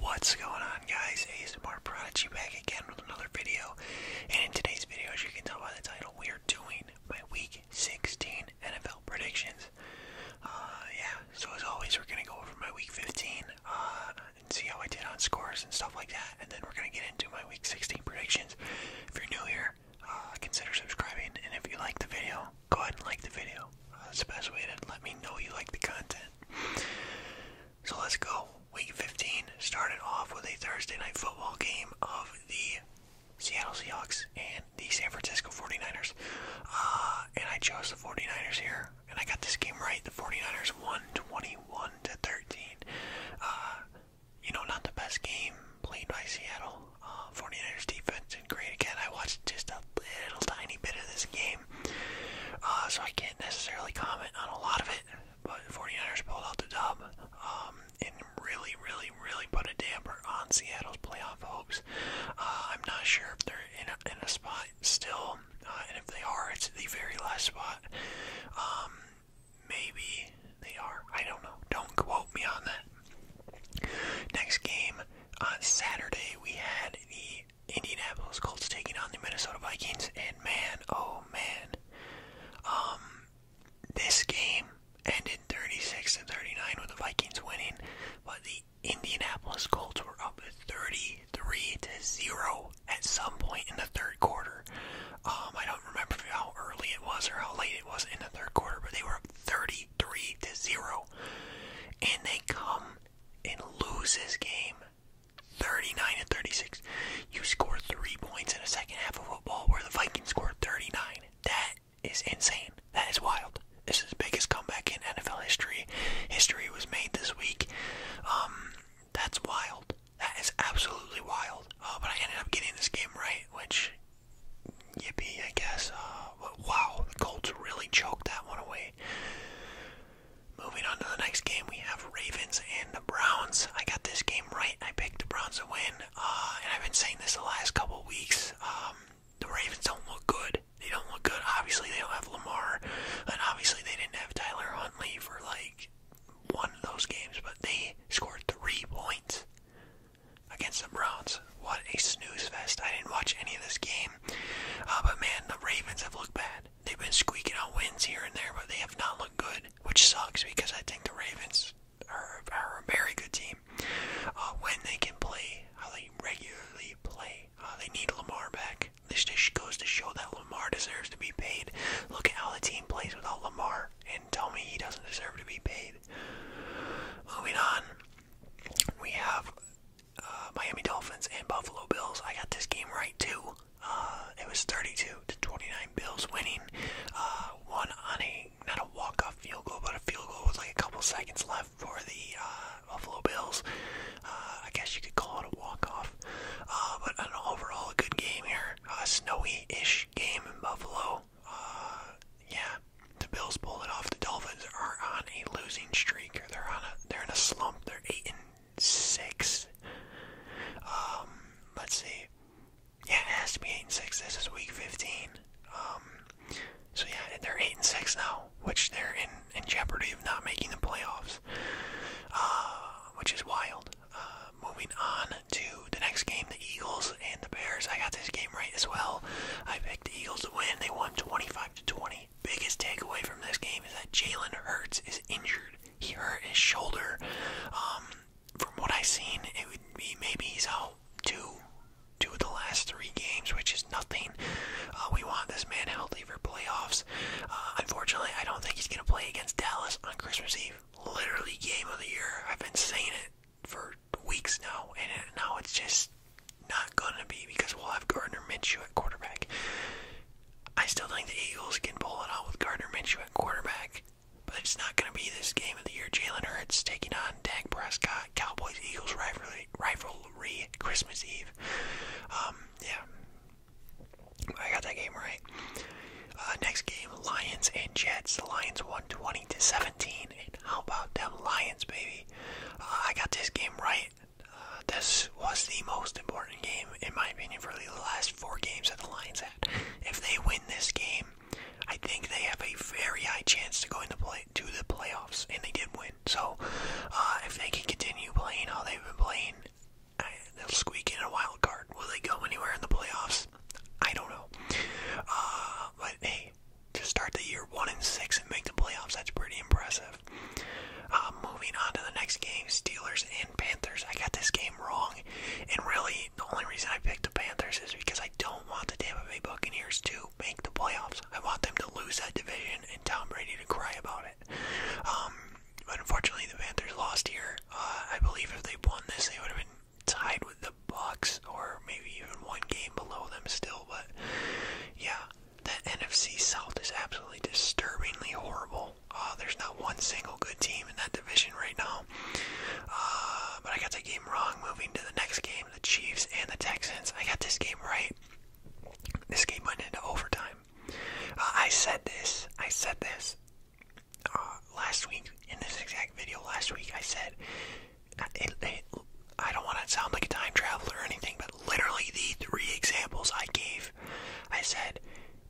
What's going on guys, ASMR Prodigy back again with another video, and in today's video as you can tell by the title, we are doing my week 16 NFL predictions. Uh, yeah, so as always we're going to go over my week 15, uh, and see how I did on scores and stuff like that, and then we're going to get into my week 16 predictions. If you're new here, uh, consider subscribing, and if you like the video, go ahead and like the video. That's the best way to let me know you like the content. So let's go. Week 15 started off with a Thursday night football game of the Seattle Seahawks and the San Francisco 49ers. Uh, and I chose the 49ers here, and I got this game right. The 49ers won 21 to 13. Uh, you know, not the best game played by Seattle. Uh, 49ers defense and great again. I watched just a little tiny bit of this game. Uh, so I can't necessarily comment on a lot of it, but Forty ers pulled out the dub um, and really, really, really put a damper on Seattle's playoff hopes. Uh, I'm not sure if they're in a, in a spot still, uh, and if they are, it's the very last spot. Um, maybe they are. I don't know. Don't quote me on that. Next game on Saturday, we had the Indianapolis Colts taking on the Minnesota Vikings, and man, oh man, um, this game ended 36 to 39 with the Vikings winning, but the Indianapolis Colts were up 33 to zero at some point in the third quarter. Um, I don't remember how early it was or how late it was in the third quarter, but they were up 33 to zero, and they come and lose this game 39 and 36. You scored three points in a second half of football where the Vikings scored 39. That is insane. That is wild. This is the biggest comeback in NFL history. History was made this week. Um, that's wild. That is absolutely wild. Oh, but I ended up getting this game right, which yippee, I guess. Uh, wow, the Colts really choked that one away. Moving on to the next game, we have Ravens and the Browns. I got this game right. I picked the Browns to win, uh, and I've been saying this the last couple weeks. Um, the Ravens don't look good. They don't look good. Obviously, they don't have Lamar, and obviously, they didn't have Tyler Huntley for like one of those games. But they scored three points against the Browns. What a snooze fest! I didn't watch any of this game, uh, but man, the Ravens have looked bad. They've been squeaking out wins here and there, but they have not looked good, which sucks because I think the Ravens are, are a very good team uh, when they can play how they regularly play. How uh, they need Lamar back. This just goes to show that Lamar deserves to be paid. Look at how the team plays without Lamar, and tell me he doesn't deserve to be paid. Moving on, we have uh, Miami Dolphins and Buffalo Bills. I got this game right too. Uh, it was 32 to 29 Bills winning. Uh, one on a not a walk-off field goal, but a field goal with like a couple seconds left for the Buffalo Bills. I guess you could call it a walk-off. but an overall good game here. A snowy-ish game in Buffalo. yeah, the Bills pulled it off. The Dolphins are on a losing streak. Or they're on a they're in a slump. They're eight and six. Um, let's see. Yeah, it has to be eight and six. This is week fifteen. Um, so yeah, they're eight and six now, which they're in in jeopardy of not making the playoffs, uh, which is wild. Uh, moving on to the next game, the Eagles and the Bears. I got this game right as well. I picked the Eagles to win. They won twenty five to twenty biggest takeaway from this game is that Jalen Hurts is injured. He hurt his shoulder. Um, from what I've seen, it would be maybe he's out two, two of the last three games, which is nothing. Uh, we want this man healthy for playoffs. Uh, unfortunately, I don't think he's going to play against Dallas on Christmas Eve. Literally, game of the year. I've been saying it for weeks now, and now it's just not gonna be because we'll have Gardner Minshew at quarterback. I still think the Eagles can pull it out with Gardner Minshew at quarterback, but it's not going to be this game of the year. Jalen Hurts taking on Dak Prescott, Cowboys Eagles rivalry, rivalry Christmas Eve. Um, yeah, I got that game right. Uh, next game, Lions and Jets. The Lions won 20 to 17. And how about them Lions, baby? Uh, I got this game right this was the most important game, in my opinion, for the last four games that the Lions had. If they win this game, I think they have a very high chance to go into the playoffs, and they did win. So, uh, if they can continue playing how they've been playing, they'll squeak in a wild card. Will they go anywhere in the playoffs? I don't know. Uh, but hey, to start the year one and six and make the playoffs, that's pretty impressive impressive. Uh, um, moving on to the next game, Steelers and Panthers. I got this game wrong, and really the only reason I picked the Panthers is because I don't want the Tampa Bay Buccaneers to make the playoffs. I want them to lose that division and Tom Brady to cry about it. but um, unfortunately, the Panthers lost here. Uh, I believe if they won this, they would have been tied with the Bucks or maybe even one game below them still. But yeah, the NFC South is absolutely disturbingly horrible. Uh, there's not one single good team in that division right now. Uh, but I got that game wrong. Moving to the next game, the Chiefs and the Texans. I got this game right. This game went into overtime. Uh, I said this. I said this last week in this exact video. Last week I said I don't want to sound like a time traveler or anything, but literally the three examples I gave life. I said,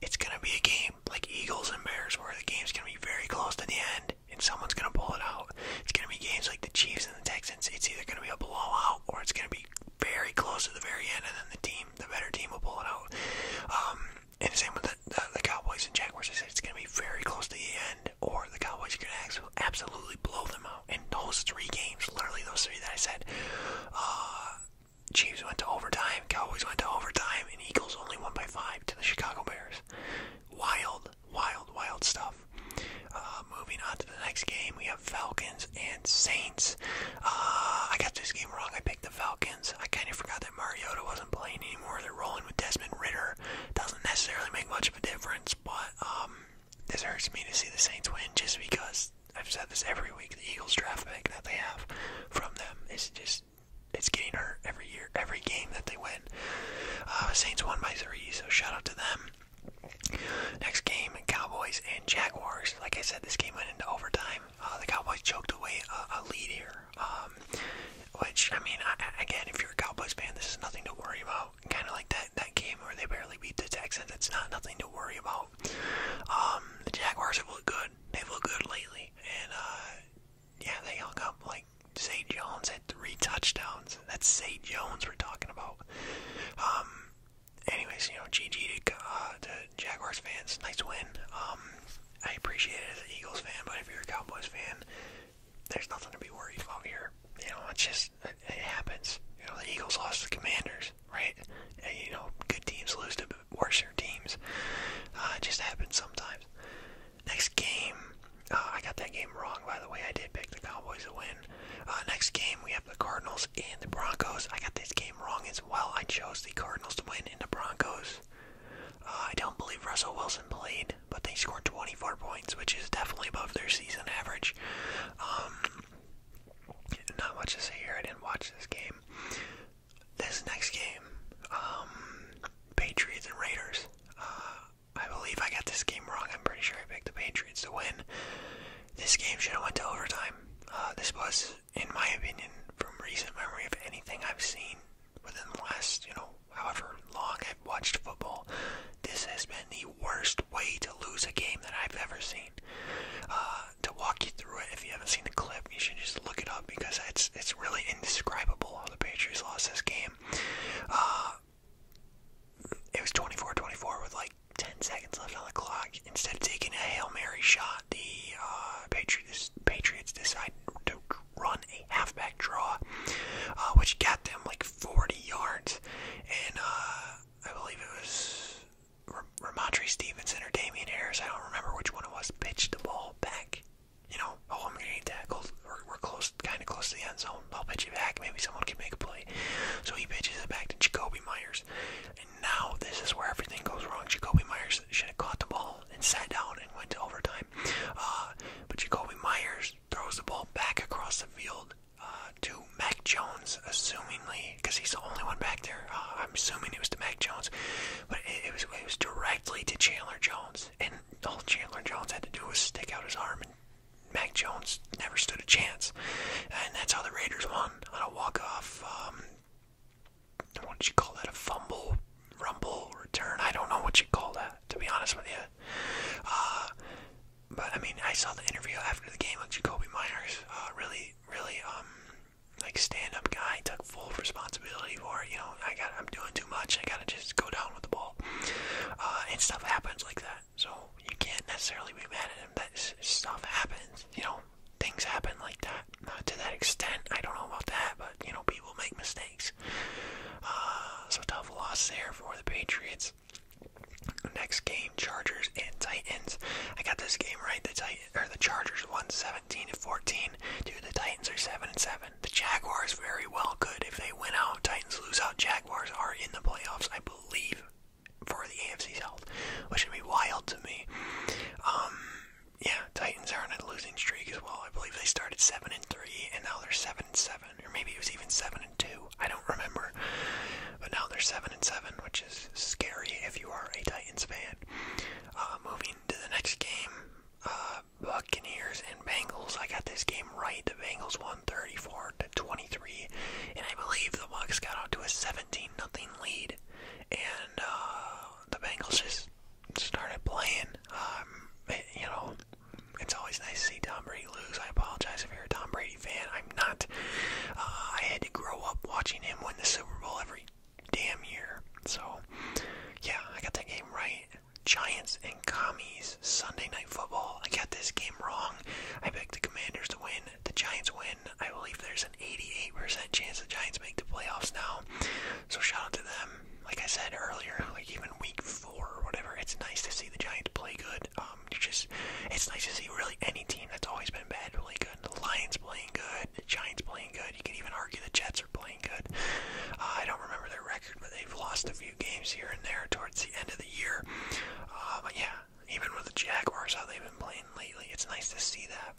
it's going to be a game like Eagles and Bears where the game's going to be very close to the end and someone's going to pull it out. It's going to be games like the Chiefs and the Texans. It's either going to be a blowout or it's going to be very close to the very end and then the team, the better team will pull it out. Um, and the same with the, the, the Cowboys and Jaguars. I said it's going to be very close to the end or the Cowboys are going to absolutely blow them out. And those three games, literally those three that I said, uh, Chiefs went to overtime, Cowboys went to overtime, and Eagles only won by five to the Chicago Bears. Wild, wild, wild stuff. Uh, moving on to the next game, we have Falcons and Saints. Uh, I got this game wrong. I picked the Falcons. I kind of forgot that Mariota wasn't playing anymore. They're rolling with Desmond Ritter. Doesn't necessarily make much of a difference, but um, this hurts me to see the Saints win just because I've said this every week. The Eagles draft pick that they have from them is just it's getting hurt every year, every game that they win. Uh, Saints won by three, so shout out to them. Next game, Cowboys and Jaguars. Like I said, this game went into overtime. Uh, the Cowboys choked away a, lead here. Um, which I mean, again, if you're a Cowboys fan, this is nothing to worry about. Kind of like that that game where they barely beat the Texans. It's not nothing to worry about. Um, the Jaguars have looked good. They've looked good lately, and uh, yeah, they hung up like Zay Jones had three touchdowns. That's St. Jones we're talking about. Um, anyways, you know, GG uh, to, Jaguars fans. Nice win. Um, I appreciate it as an Eagles fan, but if you're a Cowboys fan, there's nothing to be worried about here. You know, it's just it, happens. You know, the Eagles lost to the Commanders, right? you know, good teams lose to worse your teams. Uh, it just happens sometimes. Next game, uh, I got that game wrong, by the way. I did pick the Cowboys to win. Uh, next game, we have the Cardinals and the Broncos. I got this game wrong as well. I chose the Cardinals to win and the Broncos. I don't believe Russell Wilson played, but they scored 24 points, which is definitely above their season average. Um, not much to say here. I didn't watch this game. This next game, um, Patriots and Raiders. Uh, I believe I got this game wrong. I'm pretty sure I picked the Patriots to win. This game should have went to overtime. Uh, this was, in my opinion, from recent memory of anything I've seen within the last, you know, however long I've watched football, this has been the worst way to lose a game that I've ever seen. Uh, to walk you through it, if you haven't seen the clip, you should just look it up because it's it's really indescribable how the Patriots lost this game. Uh, it was 24-24 with like 10 seconds left on the clock. Instead of taking a Hail Mary shot, the uh, Patriots, Patriots decided to run a halfback draw, which got them like 40 yards. And I believe it was R Ramadri Stevenson or Damian Harris, I don't remember which one it was, pitched the ball back. You know, oh, I'm getting tackled. We're, we're close, kind of close to the end zone. I'll pitch it back. Maybe someone can make a play. So he pitches it back to Jacoby Myers. And now this is where everything goes wrong. Jacoby Myers should have caught the ball and sat down and went to overtime. Uh, but Jacoby Myers throws the ball back across the field uh, to Mac Jones, assumingly because he's the only one back there. Uh, I'm assuming it was to Mac Jones, but it, was it was directly to Chandler Jones, and all Chandler Jones had to do was stick out his arm, and Mac Jones never stood a chance, and that's how the Raiders won on a walk off. Um, what did you call that? A fumble, rumble, return? I don't know what you call that. To be honest with you. Uh, but I mean, I saw the interview after the game with Jacoby Myers. Uh, really, really um, like stand-up guy took full responsibility for it. You know, I got I'm doing too much. I gotta just go down with the ball, uh, and stuff happens like that. So you can't necessarily be mad at him. That stuff happens. You know, things happen like that. Not to that extent. I don't know about that, but you know, people make mistakes. Uh, so tough loss there for the Patriots. Next game, Chargers and Titans. I got this game right. The Titan, or the Chargers One seven. 17 to 14. Dude, the Titans are 7 and 7. The Jaguars very well could. If they win out, Titans lose out, Jaguars are in the playoffs, I believe, for the AFC South, which would be wild to me. Um, yeah, Titans are on a losing streak as well. I believe they started 7 and 3, and now they're 7 and 7, or maybe it was even 7 and 2. I don't remember. But now they're 7 and 7, which is scary if you are a Titans fan. Um, uh, moving to the next game, uh, Buccaneers and Bengals. I got this game right. The Bengals won 34 to 23, and I believe the Bucks got out to a 17 nothing lead, and uh, the Bengals just started playing. Um, you know, it's always nice to see Tom Brady lose. I apologize if you're a Tom Brady fan. I'm not. Uh, I had to grow up watching him win the Super Bowl every damn year. So, yeah, I got that game right. Giants and Commies, Sunday Night Football. I got this game wrong. I picked the Commanders to win. The Giants win. I believe there's an 88% chance the Giants make the playoffs now. So shout out to them. Like I said earlier, like even week four or whatever, it's nice to see the Giants play good. Um, just, it's nice to see really any team that's always been bad play really good. The Lions playing good. The Giants playing good. You can even argue the Jets are playing good. Uh, I don't remember their record, but they've lost a few games here and there towards the end of the year. Uh, but yeah, even with the Jaguars, how they've been playing lately, it's nice to see that.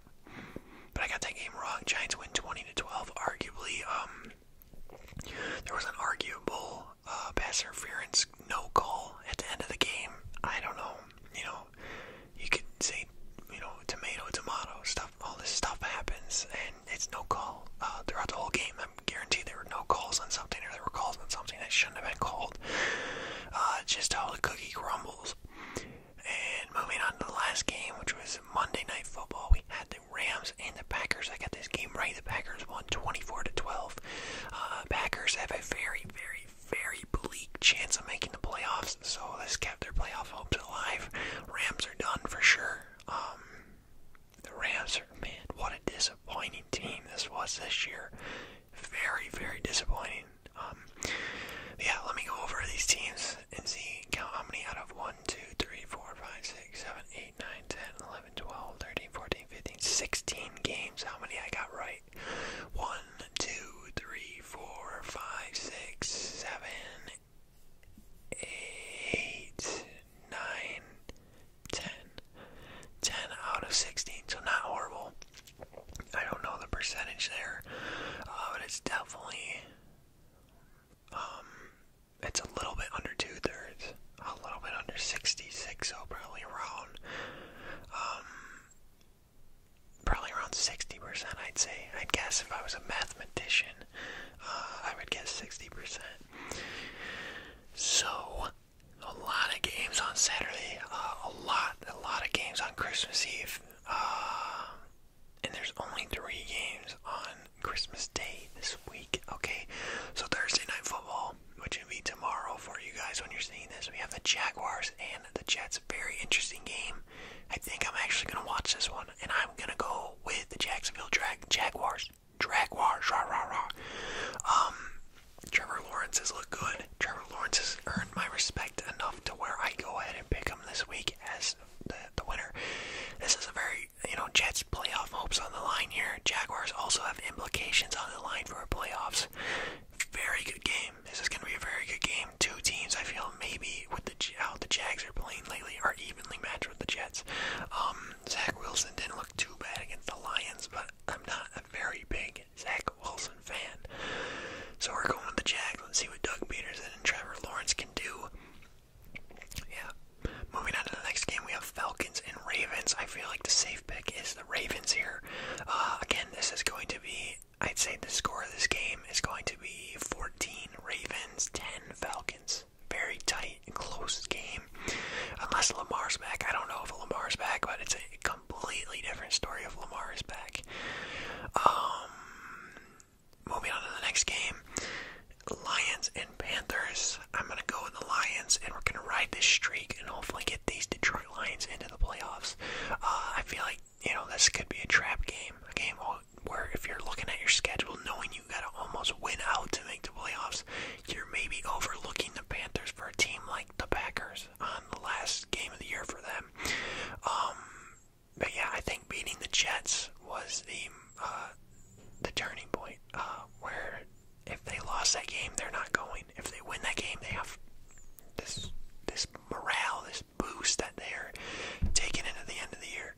But I got that game wrong. Giants win 20 to 12. Arguably, um, there was an arguable uh, pass interference no call at the end of the game. I don't know you know, you could say, you know, tomato, tomato, stuff, all this stuff happens, and it's no call uh, throughout the whole game. I'm guaranteed there were no calls on something, or there were calls on something that shouldn't have been called. Uh, just how the cookie crumbles. And moving on to the last game, which was Monday Night Football, we had the Rams and the Packers. I got this game right. The Packers won 24 to 12. Uh, Packers have a very, very, very bleak chance of making the playoffs, so this kept their playoff hopes alive. Rams are done for sure. Um, the Rams are, man, what a disappointing team this was this year. Very, very disappointing. Um, yeah, let me go over these teams and see how many out of 1, games. How many I got right? 1, two, three, four, five, six, out of sixteen, so not horrible. I don't know the percentage there, uh, but it's definitely um, it's a little bit under two thirds, a little bit under sixty-six, so probably around um probably around 60%, I'd say. i guess if I was a mathematician, uh, I would guess 60%. So, a lot of games on Saturday, uh, a lot, a lot of games on Christmas Eve, uh, and there's only three games on Christmas Day this week, okay? So, Thursday Night Football, which will be tomorrow for you guys when you're seeing this, we have the Jaguars and the Jets. Very interesting game. I think I'm actually gonna watch this one, and I'm gonna go with the Jacksonville Drag Jaguars. Jaguars, rah rah rah. Um, Trevor Lawrence has looked good. Trevor Lawrence has earned my respect enough to where I go ahead and pick him this week as the the winner. This is a very you know Jets playoff hopes on the line here. Jaguars also have implications on the line for playoffs. Very good game. This is gonna be a very good game two teams I feel maybe with the how the Jags are playing lately are evenly matched with the Jets. Um, Zach Wilson didn't look too bad against the Lions, but I'm not a very big Zach Wilson fan. So we're going with the Jags. Let's see what Doug Peterson and Trevor Lawrence can do. Yeah. Moving on to the next game, we have Falcons and Ravens. I feel like the safe pick is the Ravens here. Uh, again, this is going to be I'd say the score of this game is going to be 14 Ravens, 10 Falcons. Very tight and close game. Unless Lamar's back. I don't know if Lamar's back, but it's a completely different story if Lamar's back. Um, moving on to the next game. Lions and Panthers. I'm going to go with the Lions, and we're going to ride this streak and hopefully get these Detroit Lions into the playoffs. Uh, I feel like you know, this could be a trap game, a game where if you're looking at your schedule, knowing you got to almost win out to make the playoffs, you're maybe overlooking the Panthers for a team like the Packers on the last game of the year for them. Um, but yeah, I think beating the Jets was the uh, the turning point uh, where if they lost that game, they're not going. If they win that game, they have this this morale, this boost that they're taking into the end of the year.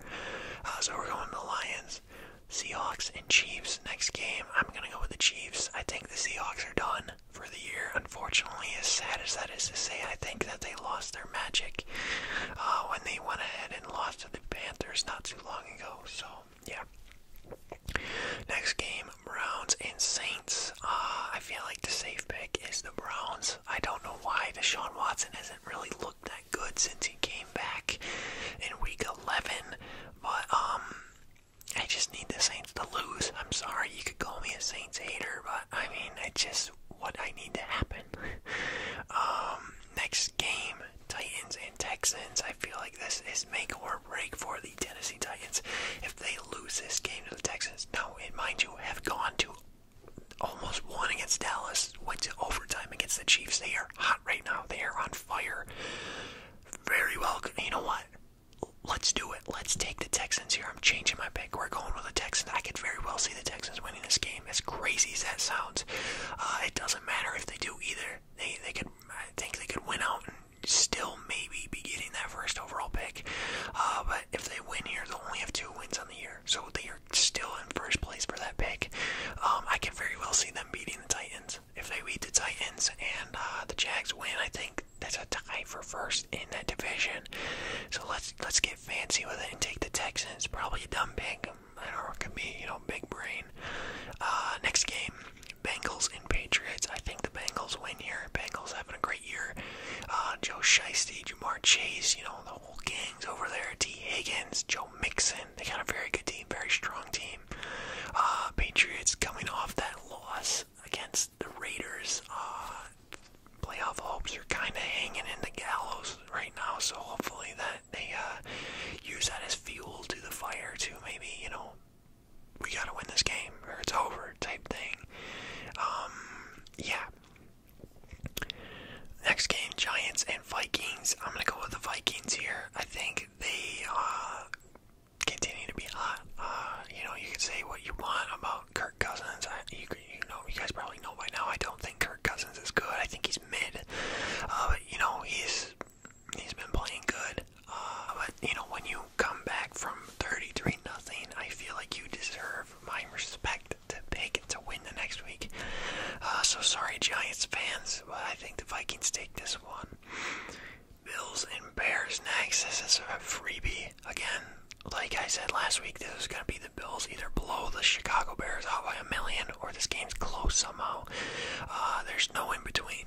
Uh, so we're going to the Lions, Seahawks, and Chiefs next game. I'm going to go with the Chiefs. I think the Seahawks are done for the year. Unfortunately, as sad as that is to say, I think that they lost their magic uh, when they went ahead and lost to the Panthers not too long ago. So, yeah. Next game, Browns and Saints. Uh, I feel like the safe pick is the Browns. I don't know why Deshaun Watson hasn't really looked that good since he came back in week 11, but um, I just need the Saints to lose. I'm sorry, you could call me a Saints hater, but I mean, it's just what I need to happen. um, next game, Titans and Texans. I feel like this is make or break for the Tennessee Titans. If they lose this game to the Texans, now, and mind you, have gone to almost won against Dallas, went to overtime against the Chiefs. They are hot right now. They are on fire. Very well. You know what? Let's do it. Let's take the Texans here. I'm changing my pick. We're going with the Texans. I could very well see the Texans winning this game. As crazy as that sounds, uh, it doesn't matter if they do either. They they could. I think they could win out and still maybe be getting that first overall pick. Uh, but if they win here, they'll only have two wins on the year, so they still in first place for that pick. Um, I can very well see them beating the Titans. If they beat the Titans and uh, the Jags win, I think that's a tie for first in that division. So let's let's get fancy with it and take the Texans. Probably a dumb pick. I don't know. It could be you know big brain. Uh, next game. Bengals and Patriots. I think the Bengals win here. Bengals having a great year. Uh, Joe Shiesty, Jamar Chase, you know, the whole gang's over there. T. Higgins, Joe Mixon. They got a very good team, very strong team. Uh, Patriots coming off that loss against the Raiders. Uh, playoff hopes are kind of hanging in the gallows right now, so hopefully that they uh, use that as fuel to the fire to maybe, you know, we gotta win this game or it's over type thing. Um, yeah, Next game, Giants and Vikings. I'm gonna go with the Vikings here. I think they uh, continue to be hot. Uh, you know, you can say what you want about Kirk Cousins. you, know, you guys probably know by now. I don't think Kirk Cousins is good. I think he's mid. Uh, but, you know, he's he's been playing good. Uh, but you know, when you come back from 33 nothing, I feel like you deserve my respect the pick to win the next week. Uh, so sorry, Giants fans, but I think the Vikings take this one. Bills and Bears next. This is a freebie. Again, like I said last week, this is going to be the Bills either blow the Chicago Bears out by a million or this game's close somehow. Uh, there's no in between.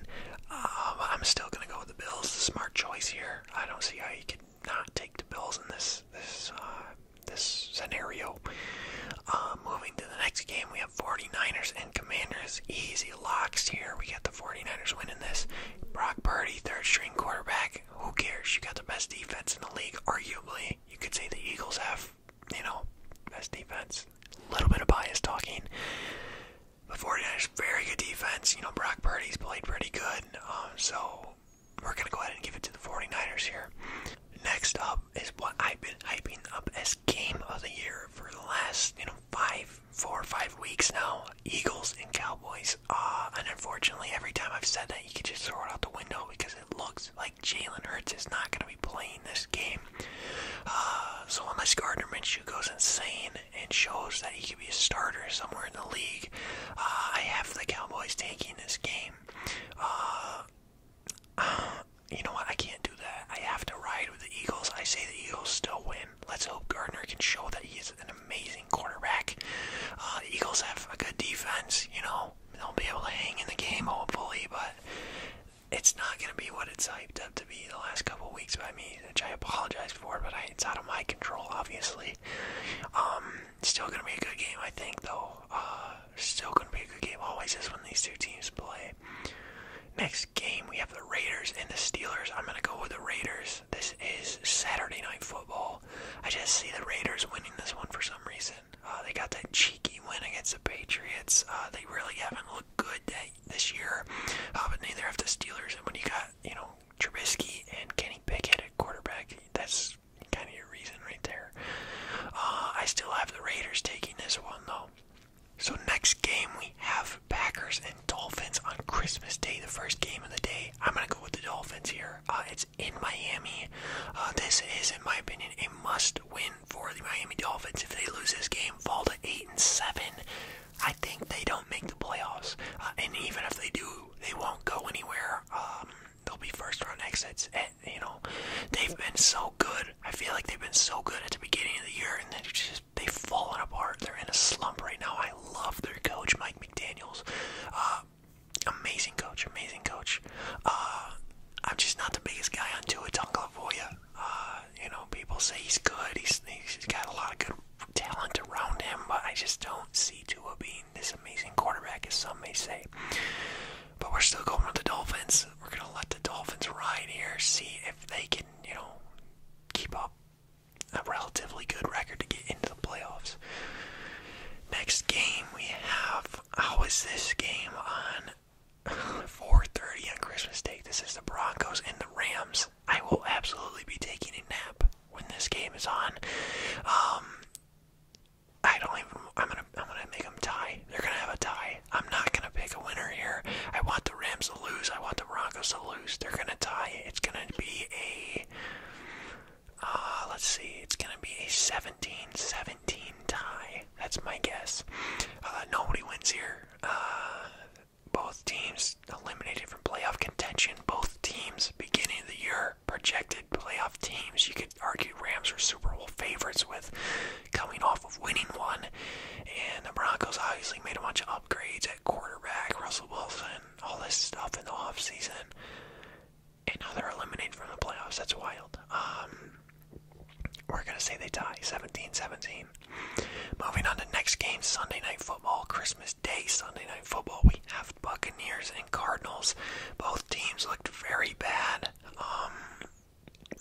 Um, I'm still going to go with the Bills. The smart choice here. I don't see how you could not take the Bills in this this uh, this scenario. Uh, moving to the next game, we have 49ers and Commanders. Easy locks here. We got the 49ers winning this. Brock Purdy, third string quarterback. Who cares? You got the best defense in the league, arguably. You could say the Eagles have, you know, best defense. A little bit of bias talking. The 49ers, very good defense. You know, Brock Purdy's played pretty good. Um, so we're going to go ahead and give it to the 49ers here. Next up is what I've been hyping up as game of the year for the last, you know, five, four or five weeks now. Eagles and Cowboys. Uh, and unfortunately, every time I've said that, you can just throw it out the window because it looks like Jalen Hurts is not going to be playing this game. Uh, so unless Gardner Minshew goes insane and shows that he could be a starter somewhere in the league, uh, I have the Cowboys taking this game. Uh, you know what? I can't do that. I have to ride with the Eagles. I say the Eagles still win. Let's hope Gardner can show that he is an amazing quarterback. Uh, the Eagles have a good defense. You know, they'll be able to hang in the game hopefully, but it's not going to be what it's hyped up to be the last couple weeks by me, which I apologize for. But it's out of my control, obviously. Um, still gonna be a good game, I think, though. Uh, still gonna be a good game. Always is when these two teams play. Next game, we have the Raiders and the Steelers. I'm gonna go with the Raiders. This is Saturday Night Football. I just see the Raiders winning this one for some reason. Uh, they got that cheeky win against the Patriots. Uh, they really haven't looked good this year, uh, but neither have the Steelers. And when you got, you know, Trubisky and Kenny Pickett at quarterback, that's kind of your reason right there. Uh, I still have the Raiders taking this one though. So next game we have Packers and Dolphins on Christmas Day, the first game of the day. I'm gonna go with the Dolphins here. Uh, it's in Miami. Uh, this is, in my opinion, a must-win for the Miami Dolphins. If they lose this game, fall to eight and seven, I think they don't make the playoffs. and even if they do, they won't go anywhere. Um, They'll be first round exits, and you know they've been so good. I feel like they've been so good at the beginning of the year, and they just they've fallen apart. They're in a slump right now. I love their coach, Mike McDaniel's. Uh, amazing coach, amazing coach. Uh, I'm just not the biggest guy on Tua Tagovailoa. Uh, you know, people say he's good. He's he's got a lot of good talent around him, but I just don't see Tua being this amazing quarterback, as some may say. But we're still going with the Dolphins. We're gonna let the Dolphins ride here, see if they can, you know, keep up a relatively good record to get into the playoffs. Next game we have. was this game on? 4:30 on Christmas Day. This is the Broncos and the Rams. I will absolutely be taking a nap when this game is on. Um, I don't even. I'm gonna. I'm gonna make them tie. They're gonna have a tie. I'm not gonna pick a winner here. I want the Rams to lose. I want the Broncos to lose. They're gonna tie. It's gonna be a. Uh, let's see. It's gonna be a 17-17 tie. That's my guess. Uh, nobody wins here. Uh, both teams eliminated from playoff contention. Both teams beginning of the year projected playoff teams. You could argue Rams are Super Bowl favorites with coming off of winning one. And the Broncos obviously made a bunch of upgrades at quarterback, Russell Wilson, all this stuff in the offseason. And now they're eliminated from the playoffs. That's wild. Um, we're going to say they tie 17 17. Moving on to next game, Sunday Night Football, Christmas Day, Sunday Night Football. We have Buccaneers and Cardinals, both teams looked very bad um,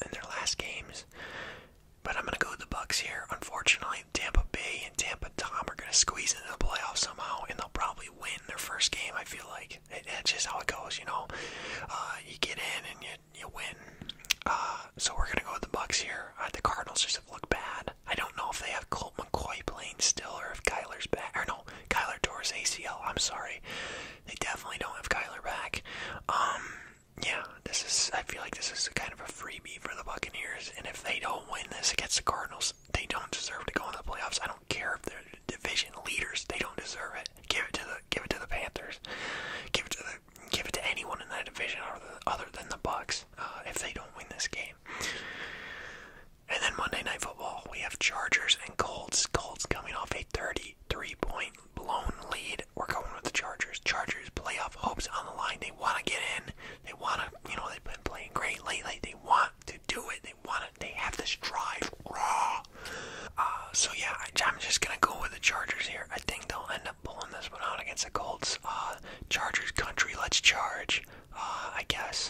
in their last games. But I'm gonna go with the Bucks here. Unfortunately, Tampa Bay and Tampa Tom are gonna squeeze into the playoffs somehow, and they'll probably win their first game. I feel like it's just how it goes, you know. Uh, you get in and you you win. Uh, so we're gonna go with the Bucks here. Uh, the Cardinals just have looked bad. I don't know if they have Colt McCoy playing still, or if Kyler's back. Or no, Kyler Torres ACL. I'm sorry. They definitely don't have Kyler back. Um, yeah, this is. I feel like this is kind of a freebie for the Buccaneers, and if they don't win this against the Cardinals, they don't deserve to go into the playoffs. I don't care if they're division leaders; they don't deserve it. Give it to the give it to the Panthers. Give it to the give it to anyone in that division other than, the Bucks. Uh, if they don't win this game, and then Monday Night Football, we have Chargers and Colts. Colts coming off a 33-point blown lead. We're going with the Chargers. Chargers playoff hopes on the line. They want to get in. They want to, you know, they've been playing great lately. They want to do it. They want to. They have this drive. Raw. Uh, so yeah, I, am just gonna go with the Chargers here. I think they'll end up pulling this one out against the Colts. Uh, Chargers country, let's charge. Uh, I guess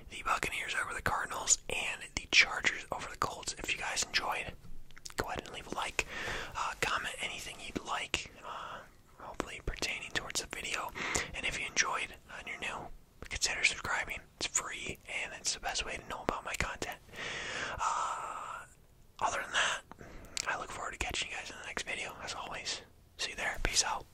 the Buccaneers over the Cardinals, and the Chargers over the Colts. If you guys enjoyed, go ahead and leave a like, uh, comment anything you'd like, uh, hopefully pertaining towards the video. And if you enjoyed and you're new, consider subscribing. It's free and it's the best way to know about my content. Uh, other than that, I look forward to catching you guys in the next video. As always, see you there. Peace out.